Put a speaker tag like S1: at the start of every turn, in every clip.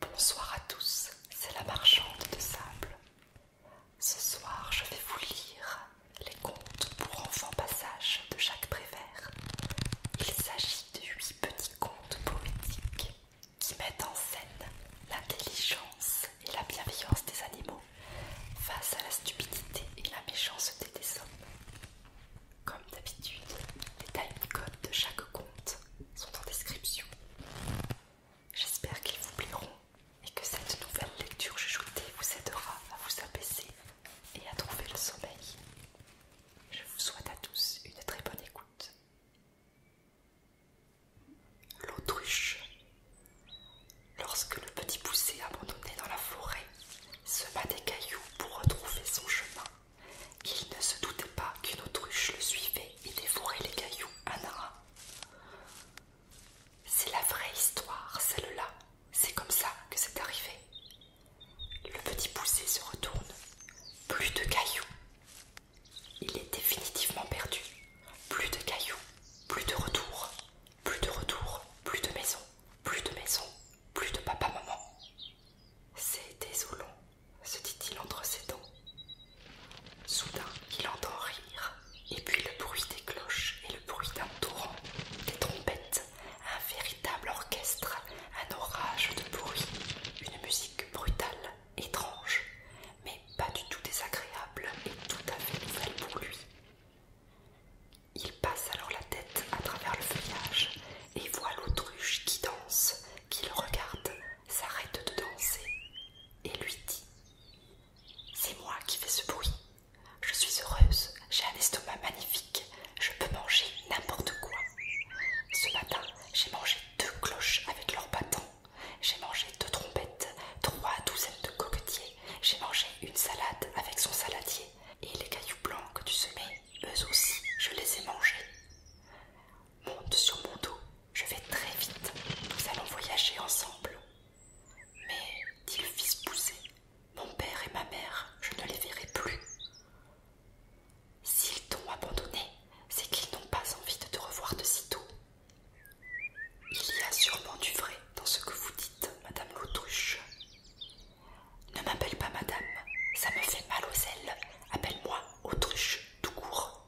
S1: Bonsoir à tous, c'est la marchande de sable. Ce soir, je vais vous lire les contes pour enfants passage de Jacques Prévert. Il s'agit de huit petits contes poétiques qui mettent en scène l'intelligence et la bienveillance des animaux face à la stupidité et la méchanceté des hommes. Comme d'habitude, les le de chaque conte sont en description. J'espère qu'ils vous plairont et que cette nouvelle lecture chuchotée vous aidera à vous abaisser et à trouver le sommeil. Je vous souhaite à tous une très bonne écoute. L'autruche. Lorsque le petit poussé abandonné dans la forêt se bat des cailloux pour retrouver son chemin, il ne se doutait pas qu'une autruche le suivait et dévorait les cailloux un à un. C'est la vraie histoire, celle-là. C'est comme ça que c'est arrivé. Le petit poussé se retourne. Plus de cailloux. Il est définitivement perdu. Plus de cailloux, plus de retour, plus de retour, plus de maison, plus de maison, plus de papa-maman, c'est désolant, se dit-il entre ses dents. Soudain, il entend rire, et puis le bruit des cloches et le bruit d'un torrent, des trompettes, un véritable orchestre, un orage de bruit, une musique brutale, étrange, mais pas du tout désagréable et tout à fait nouvelle pour lui. Il passe alors la tête à travers le feuillage et voit l'autruche qui danse, qui le regarde s'arrête de danser et lui dit C'est moi qui fais ce bruit. Je suis heureuse, j'ai un estomac magnifique, je peux manger n'importe quoi. Ce matin, j'ai mangé deux cloches avec leurs bâtons. j'ai mangé deux trompettes, trois douzaines de coquetiers, j'ai mangé une salade avec son saladier, et les cailloux blancs que tu semais, eux aussi, je les ai mangés. Monte sur mon dos, je vais très vite. Nous allons voyager ensemble. Mais, dit le fils poussé, mon père et ma mère, je ne les verrai plus. S'ils t'ont abandonné, c'est qu'ils n'ont pas envie de te revoir de sitôt. Il y a sûrement du vrai dans ce que vous dites, madame l'autruche. Ne m'appelle pas madame, ça me fait mal aux ailes. Appelle-moi autruche tout court.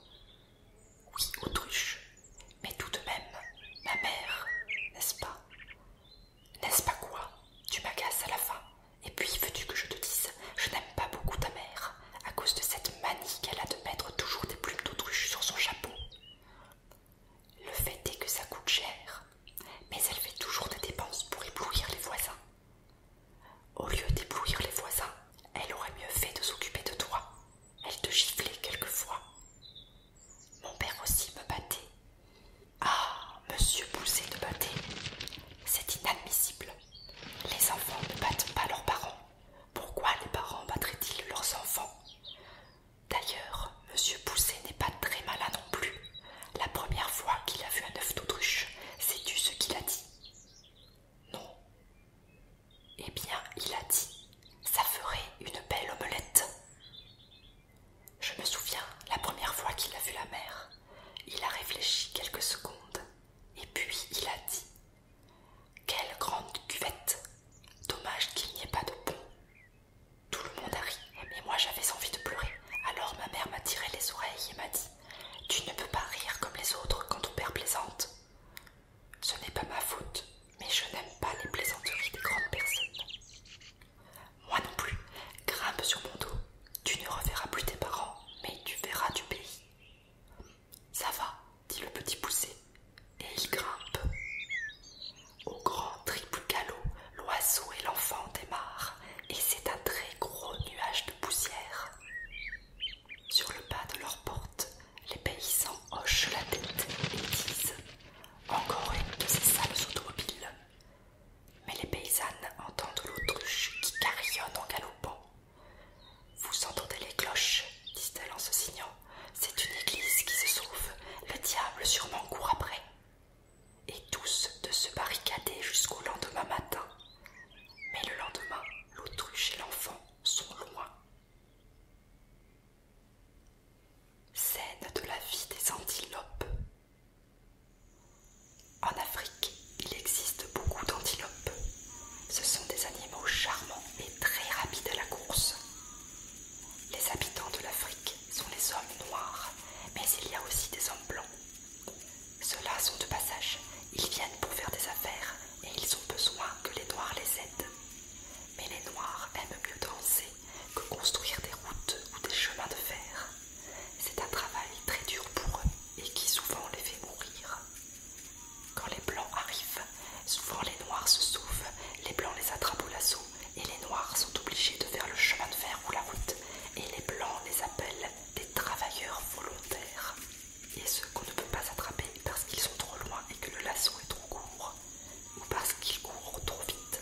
S1: Oui, autruche, mais tout de même, ma mère, n'est-ce pas N'est-ce pas quoi Tu m'agaces à la fin. Et puis, veux-tu que je te dise, je n'aime pas beaucoup ta mère, à cause de cette manie qu'elle a de mettre toujours des plumes d'autruche sur son chapeau. Le fait est que ça coûte cher, mais elle fait toujours des dépenses pour éblouir les voisins. Au lieu d'éblouir les voisins, elle aurait mieux fait de s'occuper de toi. Elle te giflait quelquefois. Mon père aussi me battait. Ah, monsieur poussé te battait. C'est inadmissible. Les enfants ne battent pas leurs parents. Pourquoi les parents battraient-ils leurs enfants D'ailleurs, monsieur pousset n'est pas très malin non plus. La première fois qu'il a vu un œuf d'autruche, sais-tu ce qu'il a dit non. Eh bien, il a dit, ça ferait une belle omelette. Je me souviens, la première fois qu'il a vu la mère, il a réfléchi quelques secondes, et puis il a dit Quelle grande cuvette Dommage qu'il n'y ait pas de pont. Tout le monde a ri, mais moi j'avais envie de pleurer. Alors ma mère m'a tiré les oreilles et m'a dit tu ne peux pas rire comme les autres quand ton père plaisante. Ce n'est pas ma faute, mais je n'aime pas les plaisanteries des grandes personnes. Moi non plus, grimpe sur mon dos. Tu ne reverras plus tes parents, mais tu verras du pays. Ça va, dit le petit poussé, et il grimpe. Au grand triple galop, l'oiseau et l'enfant démarrent, et c'est un très gros nuage de poussière. Sur le pas de leur porte, les paysans hochent la tête et disent Encore une de ces sales automobiles. Mais les paysannes entendent l'autruche qui carillonne en galopant. Vous entendez les cloches, disent-elles en se signant. C'est une église qui se sauve. Le diable sûrement court après. Et tous de se barricader jusqu'au lendemain matin. Mais le lendemain, l'autruche et l'enfant sont loin. Scène de la vie des antilopes. En Afrique, il existe beaucoup d'antilopes. Ce sont des animaux charmants et très rapides à la course. Les habitants de l'Afrique sont les hommes noirs, mais il y a aussi des hommes blancs. Ceux-là sont de passage. Ils viennent pour faire des affaires et ils ont besoin que les Noirs les aident. Mais les Noirs aiment mieux danser que construire des routes ou des chemins de fer. C'est un travail très dur pour eux et qui souvent les fait mourir. Quand les Blancs arrivent, souvent les Noirs se sauvent, les Blancs les attrapent au lasso et les Noirs sont obligés de faire le chemin de fer ou la route et les Blancs les appellent des travailleurs volontaires et ceux qu'on ne peut pas attraper parce qu'ils sont trop loin et que le lasso est trop court ou parce qu'ils courent trop vite,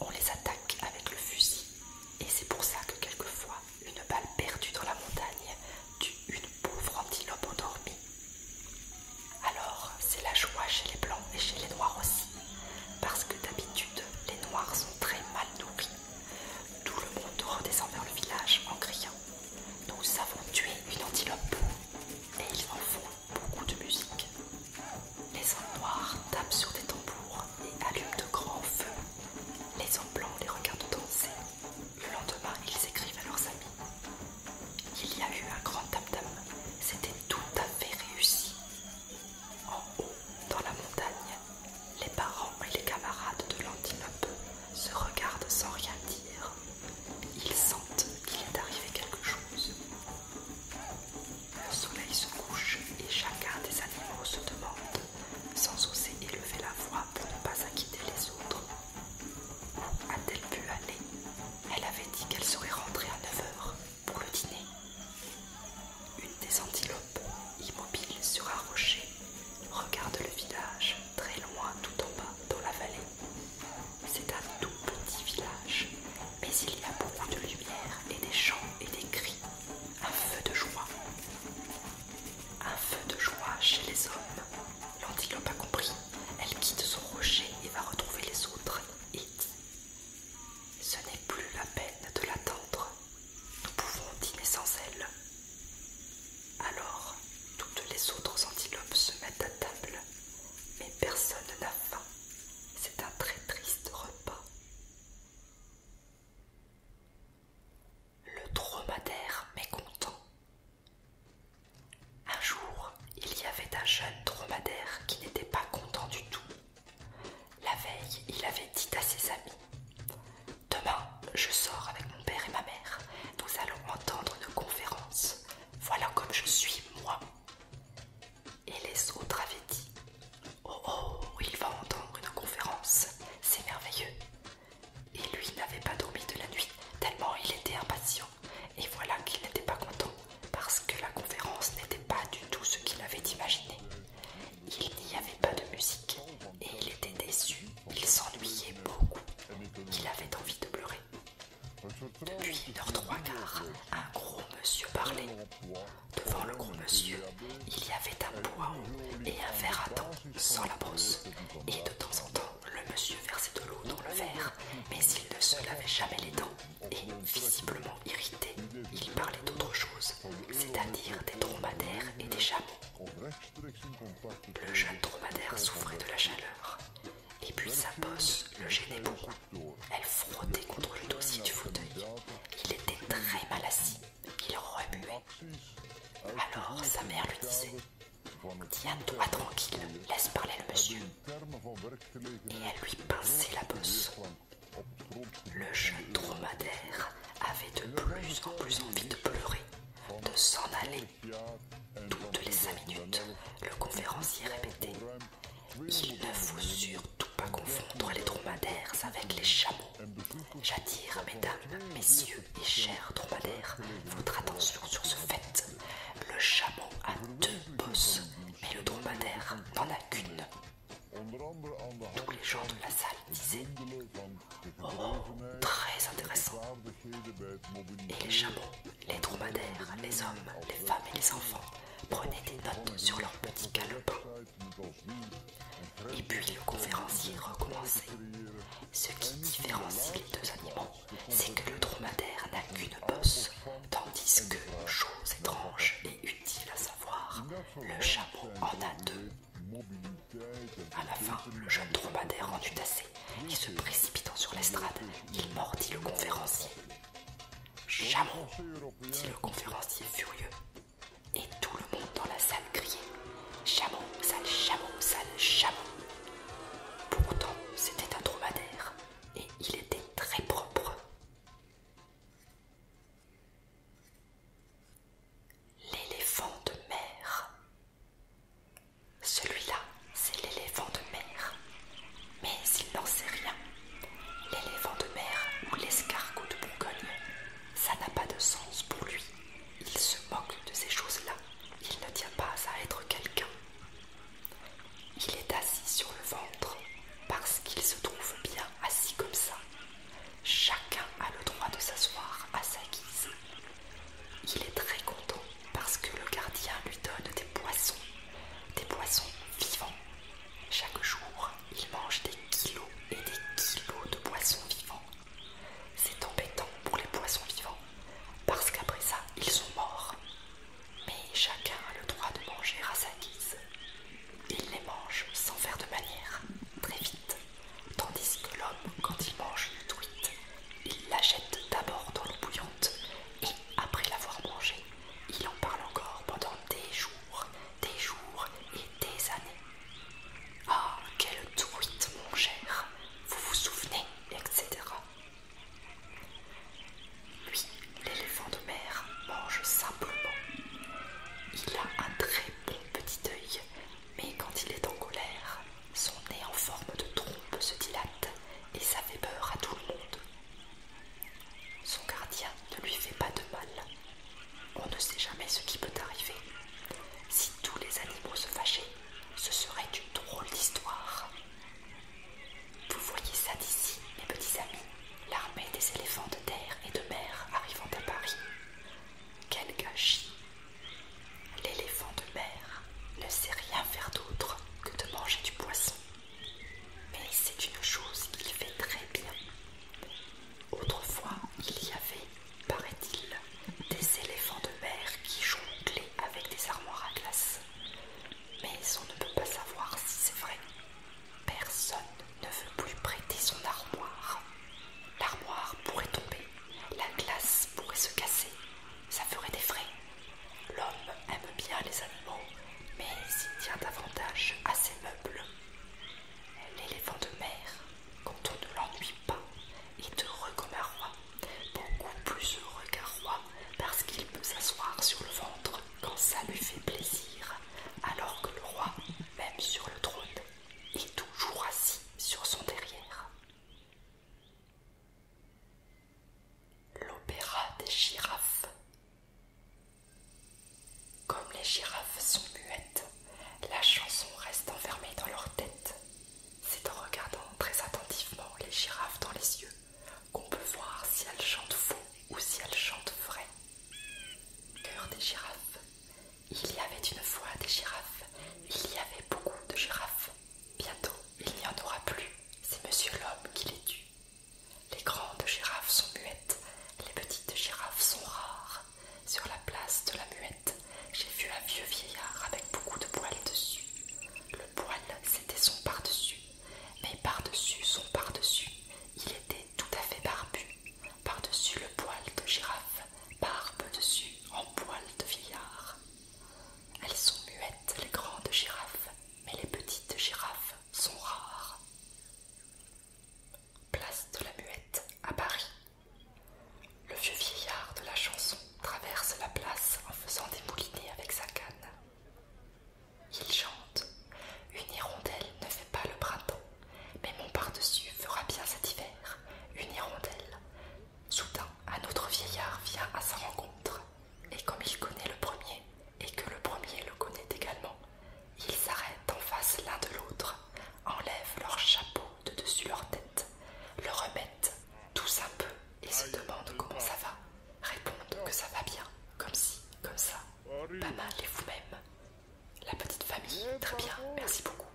S1: on les attaque avec le fusil et c'est pour ça que quelquefois une balle perdue dans la montagne tue une pauvre antilope endormie. Alors c'est la joie chez les blancs et chez les noirs aussi, parce que d'habitude les noirs sont très mal nourris tout le monde redescend vers le village en criant Nous avons tué une antilope Et ils en font beaucoup de musique. Les hommes noirs tapent sur des tambours et allument de grands feux. Les hommes blancs les regardent danser. Le lendemain, ils écrivent à leurs amis Il y a eu un grand tam-tam. C'était tout à fait réussi. En haut, dans la montagne, les parents et les camarades de l'antilope se regardent sans rien dire. Ils sentent qu'il est arrivé quelque chose. Le soleil se couche et chacun des animaux se demande, sans oser élever la voix pour ne pas inquiéter les autres, où a-t-elle pu aller Elle avait dit qu'elle serait rentrée à 9h pour le dîner. Une des antilopes, immobile sur un rocher, regarde le village très loin tout en bas dans la vallée. C'est un tout petit village, mais il y a beaucoup de lumière et des chants et des cris, un feu de joie. Un feu de joie chez les hommes. L'antilope pas compris. Elle quitte son rocher et va retrouver les autres et Ce n'est plus la peine de l'attendre nous pouvons dîner sans elle. Alors, toutes les autres antilopes se mettent à table, mais personne n'a faim. C'est un très triste repas. Le dromadaire mécontent. Un jour, il y avait un jeune dromadaire qui n'était pas content du tout. La veille, il avait dit à ses amis Demain, je sors avec mon père et ma mère. Nous allons entendre une conférence. Voilà comme je suis, moi. Et les autres avaient dit Oh oh, il va entendre une conférence. C'est merveilleux. Et lui n'avait pas dormi de la nuit, tellement il était impatient. Et voilà qu'il n'était pas content, parce que la conférence n'était pas du tout ce qu'il avait imaginé. Il n'y avait pas de musique, et il était déçu il s'ennuyait beaucoup. Il avait envie de pleurer. Depuis une heure trois quarts, un gros monsieur parlait. Devant le gros monsieur, il y avait un bois et un verre à dents sans la brosse. Et de temps en temps, le monsieur versait de l'eau dans le verre, mais il ne se lavait jamais les dents. Et, visiblement irrité, il parlait d'autre chose, c'est-à-dire des dromadaires et des chameaux. Le jeune dromadaire souffrait de la chaleur, et puis sa bosse le gênait beaucoup. Elle frottait contre le dossier du fauteuil. Il était très mal assis, il remuait. Alors sa mère lui disait Tiens-toi tranquille, laisse parler le monsieur. Et elle lui pinçait la bosse. Le jeune dromadaire avait de plus en plus envie de pleurer de s'en aller. Toutes les cinq minutes, le conférencier répétait Il ne faut surtout pas confondre les dromadaires avec les chameaux. J'attire, mesdames, messieurs et chers dromadaires, votre attention sur ce fait. Le chameau a deux bosses, mais le dromadaire n'en a qu'une. Tous les gens de la salle disaient Moment très intéressant. Et les chameaux, les dromadaires, les hommes, les femmes et les enfants prenaient des notes sur leurs petits calepins. Et puis le conférencier recommençait. Ce qui différencie les deux animaux, c'est que le dromadaire n'a qu'une bosse, tandis que, chose étrange et utile à savoir, le chameau en a deux. À la fin, le jeune dromadaire en eut assez, et se précipitant sur l'estrade, il mordit le conférencier. Chameau dit le conférencier furieux. Et tout le monde dans la salle criait Chameau, sale chameau, sale chameau. Pourtant, c'était un dromadaire, et il était très propre. L'éléphant de mer. Celui-là, c'est l'éléphant de mer. Mais il n'en sait rien. L'éléphant de mer ou l'escargot de Bourgogne, ça n'a pas de sens pour lui. Il se moque de ces choses-là. Il ne tient pas à être quelqu'un. Il est assis sur le ventre parce qu'il se trouve bien assis comme ça. Chacun a le droit de s'asseoir à sa guise. Il est très content parce que le gardien lui donne des poissons, des poissons vivants. Chaque jour, il mange des kilos et des kilos de poissons vivants. C'est embêtant pour les poissons vivants parce qu'après ça, ils sont morts. Mais chacun a le droit de manger à sa guise. Il les mange sans faire de manière, très vite tandis que l'homme, quand il mange une truite, il la jette d'abord dans l'eau bouillante et, après l'avoir mangée, il en parle encore pendant des jours, des jours et des années. Ah, quelle truite, mon cher Vous vous souvenez etc. Lui, l'éléphant de mer, mange simplement. Il a un très bon petit œil mais quand il est en colère, son nez en forme de trompe se dilate et ça fait peur à tout le monde. Son gardien ne lui fait pas de mal. On ne sait jamais ce qui peut arriver. Si tous les animaux se fâchaient, ce serait une drôle d'histoire. Vous voyez ça d'ici, mes petits amis, l'armée des éléphants de terre et de mer arrivant à Paris. Quel gâchis L'éléphant de mer ne sait rien faire d'autre que de manger du poisson. Mais c'est une chose qu'il fait très bien. Autrefois, il y avait, paraît-il, des éléphants de mer qui jonglaient avec des armoires à glace. Mais on ne peut pas savoir si c'est vrai. Personne ne veut plus prêter son armoire. L'armoire pourrait tomber la glace pourrait se casser, ça ferait des frais. L'homme aime bien les animaux, mais il tient davantage à ses meubles. L'éléphant de mer, quand on ne l'ennuie pas, est heureux comme un roi, beaucoup plus heureux qu'un roi, parce qu'il peut s'asseoir sur le ventre quand ça lui fait plaisir, alors que le roi, même sur le trône, est toujours assis sur son derrière. L'opéra des girafes. Comme les girafes sont muettes, la chanson reste enfermée dans leur tête. C'est en regardant très attentivement les girafes dans les yeux qu'on peut voir si elles chantent faux ou si elles chantent vrai. Cœur des girafes, il y avait une fois des girafes, il y avait beaucoup de girafes. Bientôt, il n'y en aura plus, c'est monsieur l'homme qui les tue. Les grandes girafes sont muettes, les petites girafes sont rares. Sur la place de la muette, j'ai vu un vieux vieillard avec beaucoup de poils dessus. Le poil, c'était son par-dessus, mais par-dessus son par-dessus, il était tout à fait barbu. Par-dessus le poil de girafe, barbe dessus en poil de vieillard. Elles sont muettes, les grandes girafes, mais les petites girafes sont rares. Place de la Muette à Paris. Le vieux vieillard de la chanson traverse la place en faisant des moulinets avec sa canne. Il chante Une hirondelle ne fait pas le printemps, mais mon pardessus fera bien cet hiver. Une hirondelle, Soudain, un autre vieillard vient à sa rencontre, et comme il connaît le premier, et que le premier le connaît également, ils s'arrêtent en face l'un de l'autre, enlèvent leur chapeau de dessus leur tête, le remettent, tous un peu, et se demandent comment ça va, répondent que ça va bien, comme si, comme ça, pas mal et vous-même. La petite famille, très bien, merci beaucoup.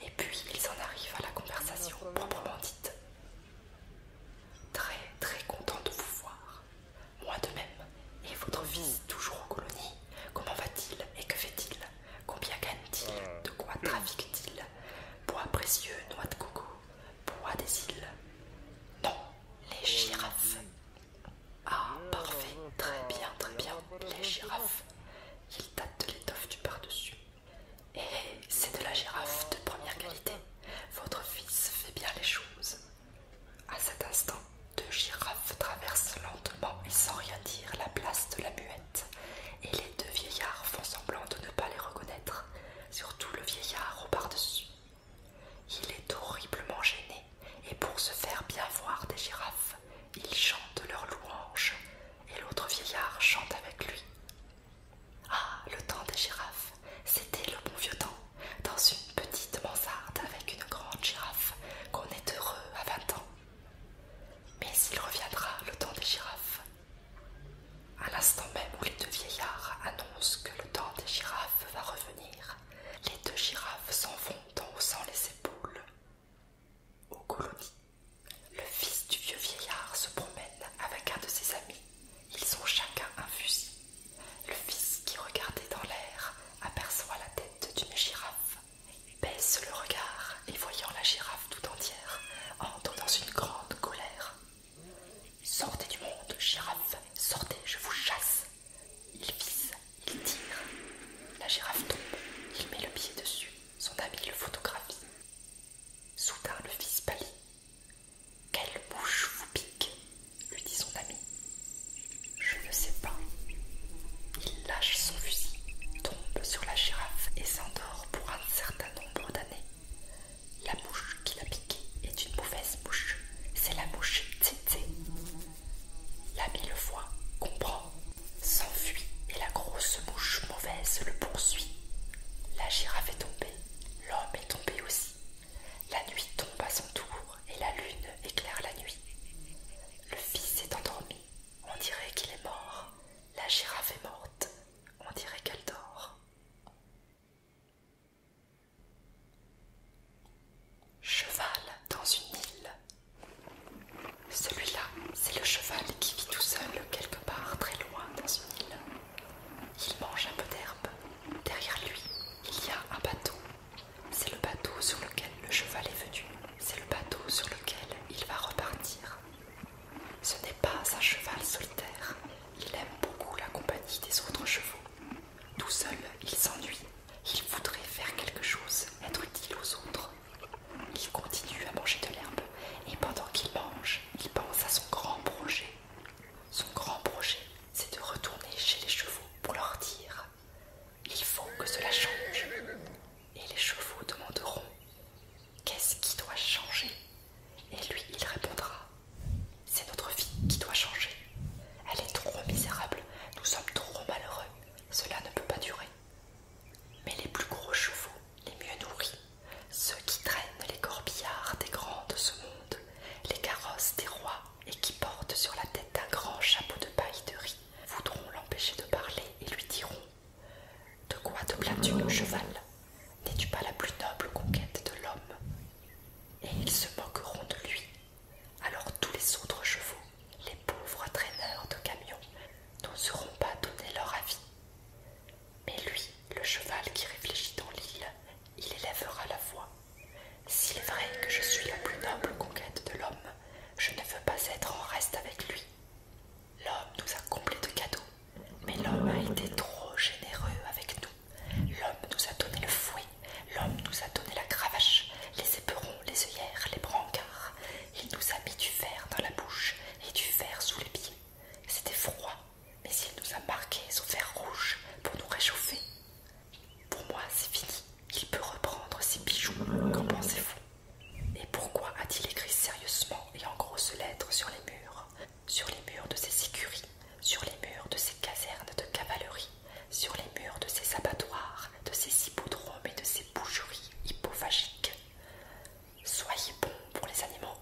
S1: Et puis ils en arrivent à la conversation proprement dite. Très très content de vous voir. Moi de même. Et votre fils toujours aux colonies Comment va-t-il et que fait-il Combien gagne-t-il De quoi trafique-t-il Bois précieux, noix de coco, bois des îles. Non, les girafes. Ah, parfait, très bien, très bien, les girafes. Ils datent de l'étoffe du pardessus. dessus et c'est de la girafe de première qualité. Votre fils fait bien les choses. À cet instant, deux girafes traversent lentement et sans rien dire la place de la muette, et les deux vieillards font semblant de ne pas les reconnaître, surtout le vieillard au par-dessus. Il est horriblement gêné, et pour se faire bien voir des girafes, ils chantent leurs louanges, et l'autre vieillard chante avec lui. Ah, le temps des girafes, c'était le bon vieux temps, dans une petite mansarde avec une grande girafe, qu'on est heureux à vingt ans. Mais il reviendra le temps des girafes. À l'instant même où les deux vieillards annoncent que le temps des girafes va revenir, les deux girafes s'en vont en haussant les épaules. Au le fils du vieux vieillard se promène avec un de ses amis. Ils ont chacun un fusil. Le fils qui regardait dans l'air aperçoit la tête d'une girafe, Il baisse le regard et voyant la girafe tout entière, entre dans une grande colère. Sortez du monde, girafe, sortez, je vous chasse. Il vise, il tire. La girafe tombe, il met le pied dessus, son ami le photographie. Soudain le fils pâlit. Quelle mouche vous pique lui dit son ami. Je ne sais pas. Il lâche son fusil, tombe sur la girafe et s'endort pour un certain nombre d'années. La mouche qui l'a piqué est une mauvaise mouche. C'est la mouche Tsetse. L'ami le voit, comprend s'enfuit et la grosse mouche mauvaise le poursuit. La girafe est tombée, l'homme est tombé aussi. La nuit tombe à son tour et la lune éclaire la nuit. Le fils est endormi, on dirait qu'il est mort. La girafe est morte, on dirait qu'elle dort. Cheval dans une île, celui-là, c'est le cheval qui vit tout seul quelque part très loin dans une île. Il mange un peu d'herbe. Derrière lui, il y a un bateau. C'est le bateau sur lequel le cheval est venu. C'est le bateau sur lequel il va repartir. Ce n'est pas un cheval solitaire. Il aime beaucoup la compagnie des autres chevaux. Tout seul, il s'ennuie. Il voudrait faire quelque chose, être utile aux autres. Il continue à manger de l'herbe. Et pendant qu'il mange, il pense à son grand projet. Son grand projet, c'est de retourner chez les chevaux pour leur dire Il faut que cela change. Et les chevaux demanderont Qu'est-ce qui doit changer Et lui, il répondra C'est notre vie qui doit changer. Elle est trop misérable, nous sommes trop malheureux, cela ne peut pas durer. Mais les plus gros chevaux, les mieux nourris, ceux qui traînent les corbillards des grands de ce monde, les carrosses des rois et qui portent sur la tête un grand chapeau de paille de riz, voudront l'empêcher de parler et lui diront De quoi te plains-tu, cheval N'es-tu pas la plus noble conquête de l'homme Et ils se moqueront de lui. Alors tous les autres chevaux, les pauvres traîneurs de camions, n'oseront pas donner leur avis mais lui, le cheval qui réfléchit dans l'île, il élèvera la voix. S'il est vrai que je suis la plus noble conquête de l'homme, je ne veux pas être en reste avec lui. L'homme nous a comblés de cadeaux, mais l'homme a été trop généreux avec nous. L'homme nous a donné le fouet, l'homme nous a donné la cravache, les éperons, les œillères, les brancards. Il nous a mis du verre dans la bouche et du verre sous les pieds. C'était froid, mais il nous a marqué son fer rouge pour nous réchauffer. Pour moi, c'est fini. Il peut reprendre ses bijoux. Qu'en pensez-vous Et pourquoi a-t-il écrit sérieusement et en grosses lettres sur les murs Sur les murs de ses écuries, sur les murs de ses casernes de cavalerie, sur les murs de ses abattoirs, de ses hippodromes et de ses boucheries hypophagiques. Soyez bons pour les animaux.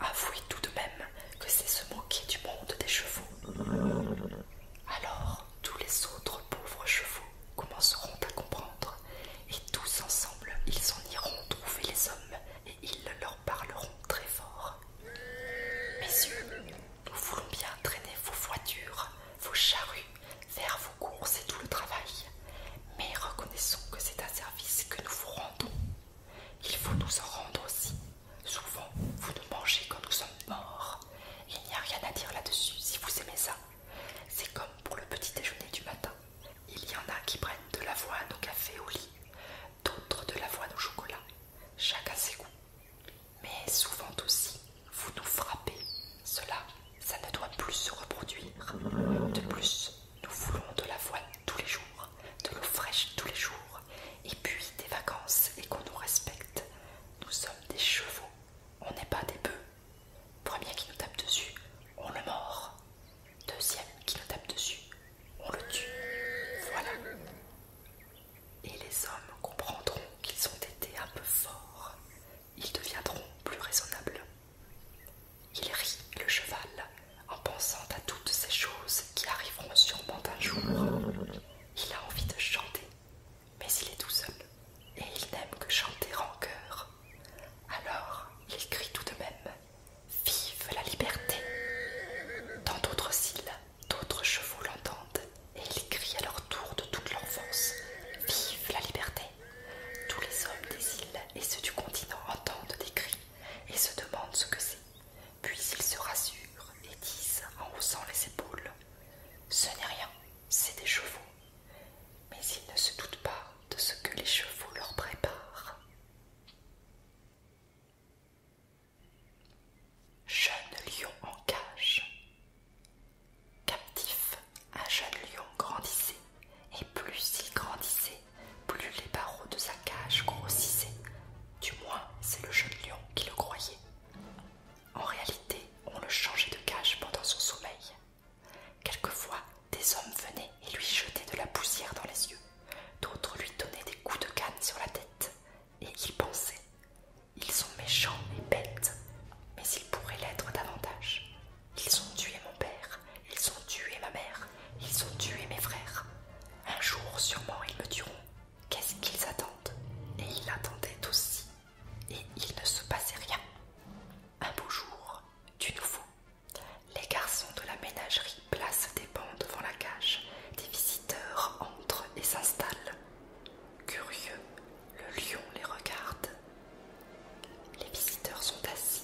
S1: Avouez tout de même que c'est se moquer du monde des chevaux. Alors tous les autres pauvres chevaux commenceront à comprendre, et tous ensemble ils en iront trouver les hommes, et ils leur parleront très fort. Messieurs, nous voulons bien traîner vos voitures, vos charrues faire vos courses et tout le travail, mais reconnaissons que c'est un service que nous vous rendons. Il faut nous en rendre aussi. Souvent, vous nous mangez quand nous sommes morts. Il n'y a rien à dire là-dessus si vous aimez ça. C'est comme pour le petit déjeuner du matin. Il y en a qui prennent de la l'avoine au café au lit, d'autres de la l'avoine au chocolat, chacun ses goûts. Mais souvent aussi, vous nous frappez. Cela ça ne doit plus se reproduire. De plus, nous voulons de l'avoine tous les jours, de l'eau fraîche tous les jours, et puis des vacances et qu'on nous respecte. Nous sommes des chevaux, on n'est pas des bœufs. Premier qui nous tape dessus, on le mord. Deuxième qui nous tape dessus, on le tue. Voilà. Et les hommes comprendront qu'ils ont été un peu forts ils deviendront plus raisonnables. Il rit, le cheval, en pensant à toutes ces choses qui arriveront sûrement un jour. Il a envie de chanter, mais il est tout seul, et il n'aime que chanter en chœur. Alors, il crie tout de même Vive la liberté Dans d'autres îles, d'autres chevaux l'entendent, et ils crient à leur tour de toute l'enfance Vive la liberté tous les hommes des îles et ceux du continent entendent des cris et se demandent ce que c'est. Puis ils se rassurent et disent en haussant les épaules Ce n'est rien, c'est des chevaux. Mais ils ne se doutent pas de ce que les chevaux leur préparent. Jeune lion en cage. Captif, un jeune lion grandissait, et plus il grandissait, plus les barreaux de sa cage grossissaient. Du moins, c'est le jeune lion qui le croyait. En réalité, on le changeait de cage pendant son sommeil. Quelquefois, des hommes venaient et lui jetaient de la poussière dans les yeux, d'autres lui donnaient des coups de canne sur la tête, et il pensait Ils sont méchants et bêtes, mais ils pourraient l'être davantage. Ils ont tué mon père, ils ont tué ma mère, ils ont tué mes frères. Un jour sûrement ils me tueront. Qu'est-ce qu'ils attendent Et ils attendaient aussi. Et il ne se passait rien. Un beau jour, du nouveau, les garçons de la ménagerie placent des bancs devant la cage. Des visiteurs entrent et s'installent. Curieux, le lion les regarde les visiteurs sont assis.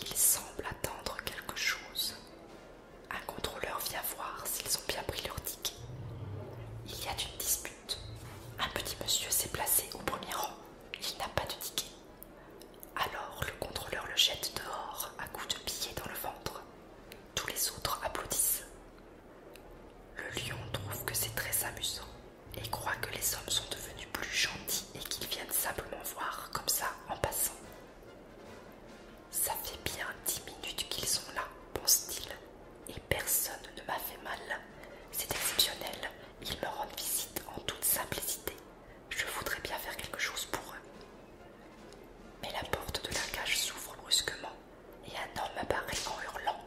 S1: Ils semblent attendre quelque chose. Un contrôleur vient voir s'ils ont bien pris leur ticket. Il y a une dispute. Un petit monsieur s'est placé au premier rang. Il n'a pas de ticket. Alors le contrôleur le jette dehors à coups de pied dans le ventre. Tous les autres applaudissent. Le lion trouve que c'est très amusant et croit que les hommes sont devenus plus gentils et qu'ils viennent simplement voir comme ça en passant. Ça fait bien dix minutes qu'ils sont là, pense-t-il, et personne ne m'a fait mal. C'est exceptionnel, ils me rendent visite en toute simplicité. Je voudrais bien faire quelque chose pour eux. Mais la porte de la cage s'ouvre brusquement et un homme apparaît en hurlant.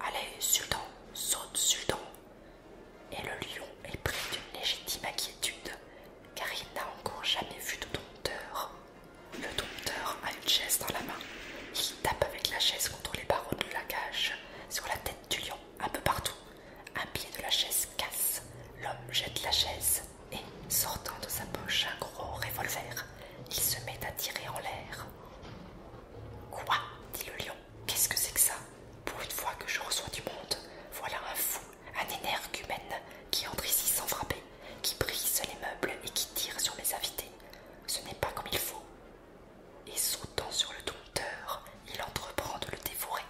S1: Allez, Sultan, saute, Sultan et le lion est pris d'une légitime inquiétude, car il n'a encore jamais vu de dompteur. Le dompteur a une chaise dans la main. Il tape avec la chaise contre les barreaux de la cage, sur la tête du lion, un peu partout. Un pied de la chaise casse. L'homme jette la chaise et, sortant de sa poche un gros revolver, il se met à tirer en l'air. Quoi dit le lion qu'est-ce que c'est que ça Pour une fois que je reçois du monde, voilà un fou, un énergumène qui entre ici sans frapper, qui brise les meubles et qui tire sur les invités. Ce n'est pas comme il faut. Et sautant sur le dompteur, il entreprend de le dévorer,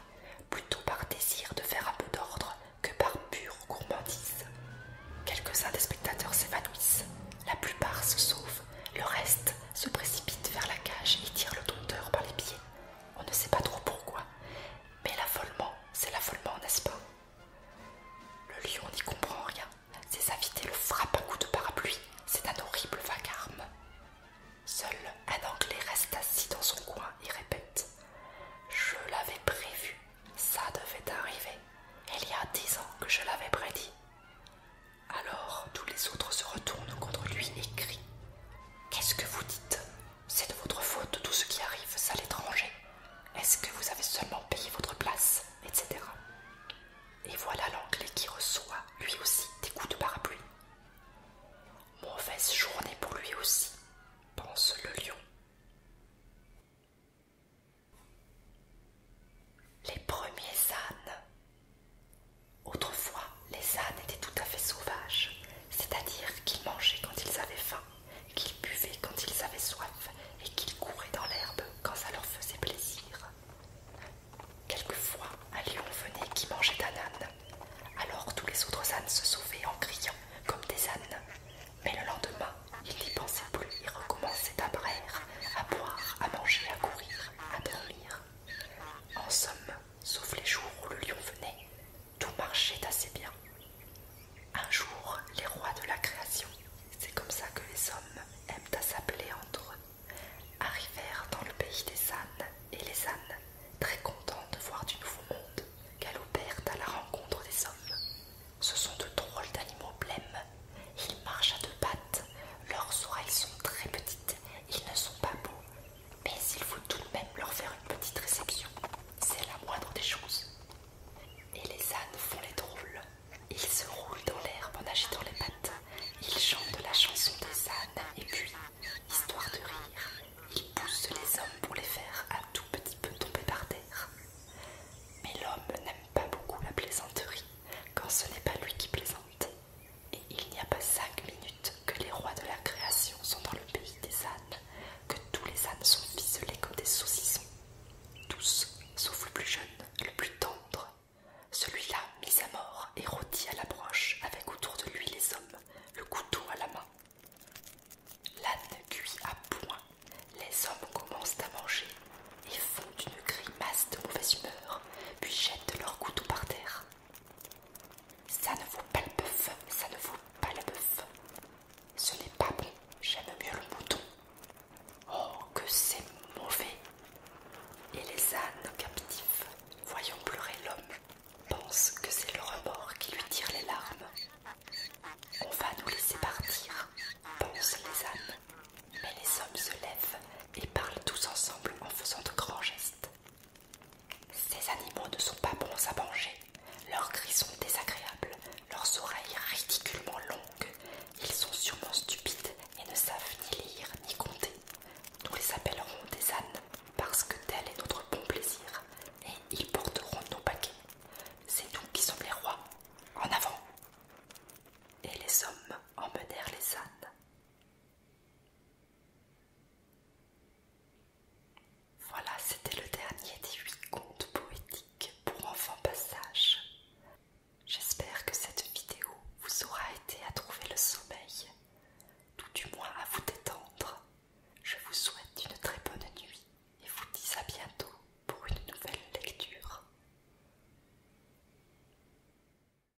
S1: plutôt par désir de faire un peu d'ordre que par pure gourmandise. Quelques-uns des spectateurs s'évanouissent, la plupart se sauvent, le reste se précipite vers la cage et tire le dompteur par les pieds. On ne sait pas trop pourquoi, mais l'affolement, c'est l'affolement, n'est-ce pas Le lion n'y comprend rien. Ses invités le frappent un coup de parapluie. C'est un horrible vacarme. Seul un Anglais reste assis dans son coin et répète Je l'avais prévu, ça devait arriver. Il y a dix ans que je l'avais prédit. Alors tous les autres se retournent contre lui et crient Qu'est-ce que vous dites C'est de votre faute tout ce qui arrive à l'étranger. Est-ce que vous avez seulement payé votre place etc. Et voilà l'anglais qui reçoit lui aussi des coups de parapluie. Mauvaise journée pour lui aussi, pense le lion. Les premiers ânes Autrefois, les ânes étaient tout à fait sauvages, c'est-à-dire qu'ils mangeaient quand ils avaient faim, qu'ils buvaient quand ils avaient soif et qu'ils couraient dans l'herbe quand ça leur faisait plaisir. Quelquefois, un lion venait qui mangeait un âne. Alors tous les autres ânes se sauvaient en criant comme des ânes. Mais le lendemain, ils n'y pensaient plus et recommençaient à braire, à boire, à manger, à courir, à dormir. En somme, sauf les jours où le lion venait, tout marchait assez bien. Un jour, les rois de la création, c'est comme ça que les hommes aiment à s'appeler entre eux, arrivèrent dans le pays des ânes, et les ânes, très contents de voir du nouveau monde, galopèrent à la rencontre des hommes. Ce sont de drôles d'animaux blêmes. Ils marchent à deux pattes, leurs oreilles sont très petites ils ne sont pas beaux, mais il faut tout de même leur faire une petite réception. C'est la moindre des choses. Et les ânes font les drôles. Ils se roulent dans l'herbe en agitant les pattes. Ils chantent la chanson des ânes et puis, histoire de rire, ils poussent les hommes pour les faire un tout petit peu tomber par terre. Mais l'homme n'aime pas beaucoup la plaisanterie quand ce n'est pas lui qui plaisante. Et il n'y a pas cinq minutes que les rois de la création sont dans le pays des ânes, que tous les ânes sont ficelés comme des saucissons. Tous, sauf le plus jeune, le plus tendre. Celui-là, mis à mort et rôti à la broche avec autour de lui les hommes, le couteau à la main. L'âne cuit à point, les hommes commencent à manger et font une grimace de mauvaise humeur, puis jettent leurs couteaux par terre. Ça ne vaut pas le bœuf, ça ne vaut pas le bœuf. Ce n'est pas bon, j'aime mieux le mouton. Oh, que c'est mauvais! Et les ânes captifs, voyant pleurer l'homme, pensent que c'est le remords qui lui tire les larmes. On va nous laisser partir, pensent les ânes. Mais les hommes se lèvent et parlent tous ensemble en faisant de grands gestes. Ces animaux ne sont pas bons à manger, leurs cris sont désagréables, leurs oreilles ridiculement longues, ils sont sûrement stupides et ne savent ni lire ni compter. Nous les appellerons des ânes parce que tel est notre bon plaisir et ils porteront nos paquets. C'est nous qui sommes les rois. En avant Et les hommes emmenèrent les ânes. Voilà, c'était le dernier des huit contes poétiques pour enfants passage. J'espère que cette vidéo vous aura aidé à trouver le sommeil, tout du moins à vous détendre. Je vous souhaite une très bonne nuit et vous dis à bientôt pour une nouvelle lecture.